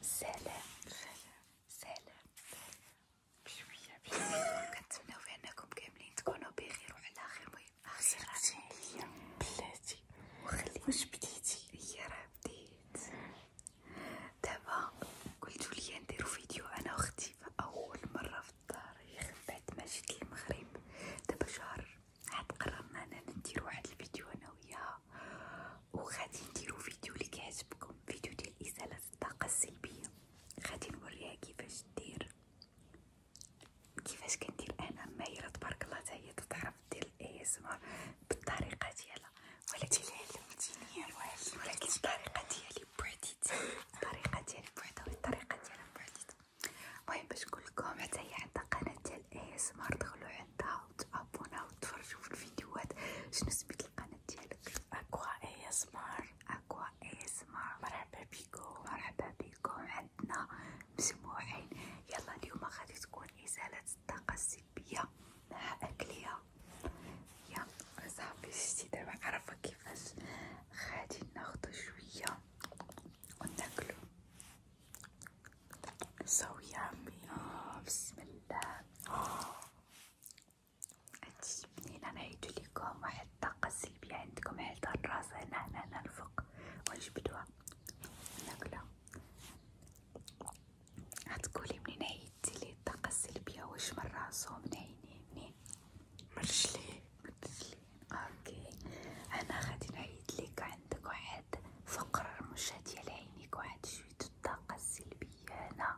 سلام سلام سلام بشوية بشوية كنتمناو بأنكم كاملين تكونوا بخير وعلى خير المهم آخر راه بلاتي وخلي واش بديتي هي راه بديت دابا قلتو ليا نديرو فيديو أنا وختي فأول مرة في التاريخ بعد ما جيت للمغرب دابا شهر عاد قررنا أننا نديرو واحد الفيديو أنا وياها الطاقة وغادي نديرو فيديو اللي كيعجبكم فيديو ديال إزالة الطاقة السلبية غادي نوريها كيفاش دير كيفاش كندير أنا ماهرة تبارك الله تاهي تتعرف دير الاي اس بالطريقة ديالها ولكن علمتيني الواجب ولكن الطريقة ديالي بعديت الطريقة ديالي بعدا والطريقة ديالها بعديت المهم باش نقولكم حتى هي عندها قناة ديال اي اس دخلو عندها وتابونا وتفرجوا في الفيديوهات شنو سميت القناة ديالك أكوا اي اسمار أكوا اي اسمار مرحبا بيكم مرحبا بيكم عندنا مجموعين يلا اليوم غادي تكون إزالة الطاقة السلبية مع أكلية يا صاحبي شتي دابا عارفة كيفاش غادي ناخدو شوية وناكلو سوي يا عمي آه بسم الله أتجبنين أنا عيدو ليكم واحد طاقة سلبية عندكم حيت الراس هنا هنا هنا الفوق ونجبدوها ناكلها غتقولي منين عيدتي لي الطاقة السلبية واش من راسو من عيني منين من رجلي اوكي انا غادي نعيد لك عندك واحد فقرة رموشة ديال عينيك واحد شوية الطاقة السلبية هنا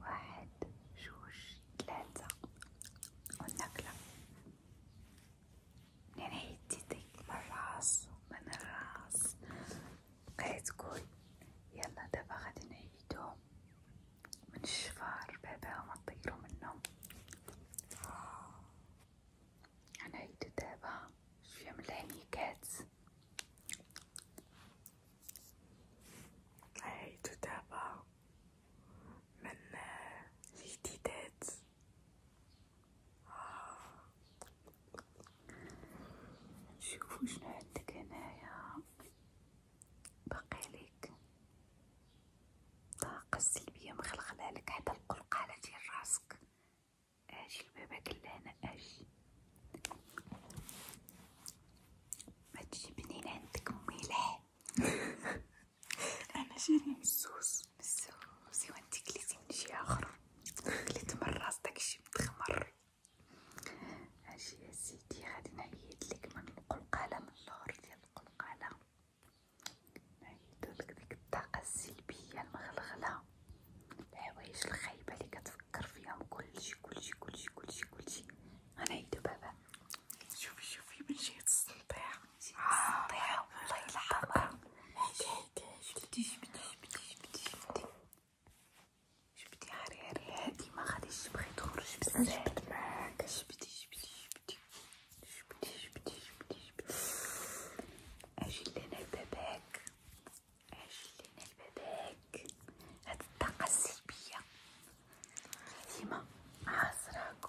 واحد جوج ثلاثة والنقلة منين عيدتي ديك من الراس من الراس بقيت تقول يلا دابا غادي نعيدهم من شفار بابا وما تطيروا منهم أنا هيدا دابا شوية من الهنيكات هيدا دابا من الجديدات نشوفو شنو عندك هنايا باقيلك الطاقة السلبية مخلخلالك حتى القلقعة ديال راسك اجي لبابك لهنا اجي ما تجيبني عندك ملح انا جاني مسوس مسوس ايوا انت كليتي من شي اخر كليت من راس داكشي متخمر اجي يا سيدي غادي نعيدلك من القلقلة من اللور ديال القلقلة نعيدولك ديك الطاقة السلبية المغلغلة الحوايج الخايبة اللي كتفكر فيهم كلشي كلشي كلشي كلشي كلشي غنعيدو بابا شوفي شوفي من جهة السطيع السطيع والله آه، إلا حمار هكا هكا جبدي جبدي جبدي جبدي جبتي حرير هادي ما غاديش تبغي تخرج بزاف جبت معاك جبتي جبتي جبتي جبتي جبتي جبتي جبتي اجي لنا لباباك اجي لنا لباباك هاد الطاقة السلبية ديما عازراك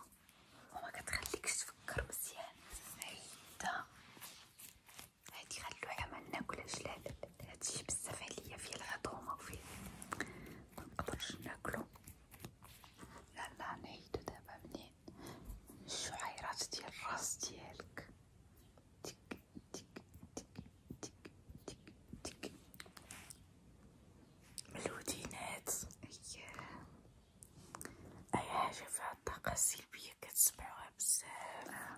وما كتخليكش تفكر مزيان عيدة هادي خلوها ما ناكلهاش لا لا هادشي بزاف عليا فيه العظومه وفيه منقدرش ناكلو يلا نعيدو دابا منين الشعيرات ديال الراس ديالك تك تك تك تك تك تك ملودينات اييه اي حاجه فيها الطاقه السلبيه كتسمعوها بزاف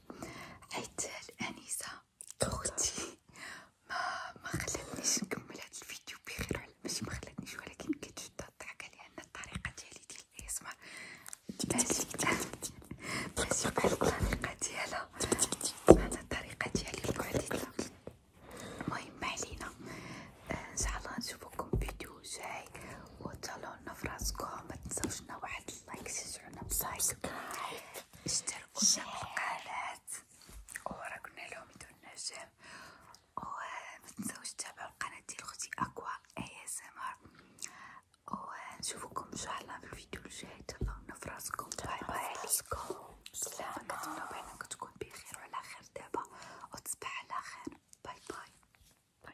حيت الأنسة أختي ما ما خلاتنيش نكمل هاد الفيديو بخير وعلى ماشي ما خلاتنيش ولكن كتشد الضحكة لأن الطريقة ديالي ديال الإي إس مار ماشي ماشي بحال الطريقة ديالها أنا الطريقة ديالي بعديتها المهم معلينا آه، إن شاء الله نشوفكم فيديو جاي وتهلاو لنا فراسكم متنساوش لنا واحد لايك مسايك اشتركوا بالقناة وراكنا لهم يدون نجم ومتنساوش تتابعوا القناة ديال خوتي أكوا اي اس ام ار ونشوفكم ان شاء الله في الفيديو الجاي تهلاو في راسكم باي باي عليكم سلام كنتمنى بانكم تكون بخير وعلى خير دابا وتصبح على خير باي باي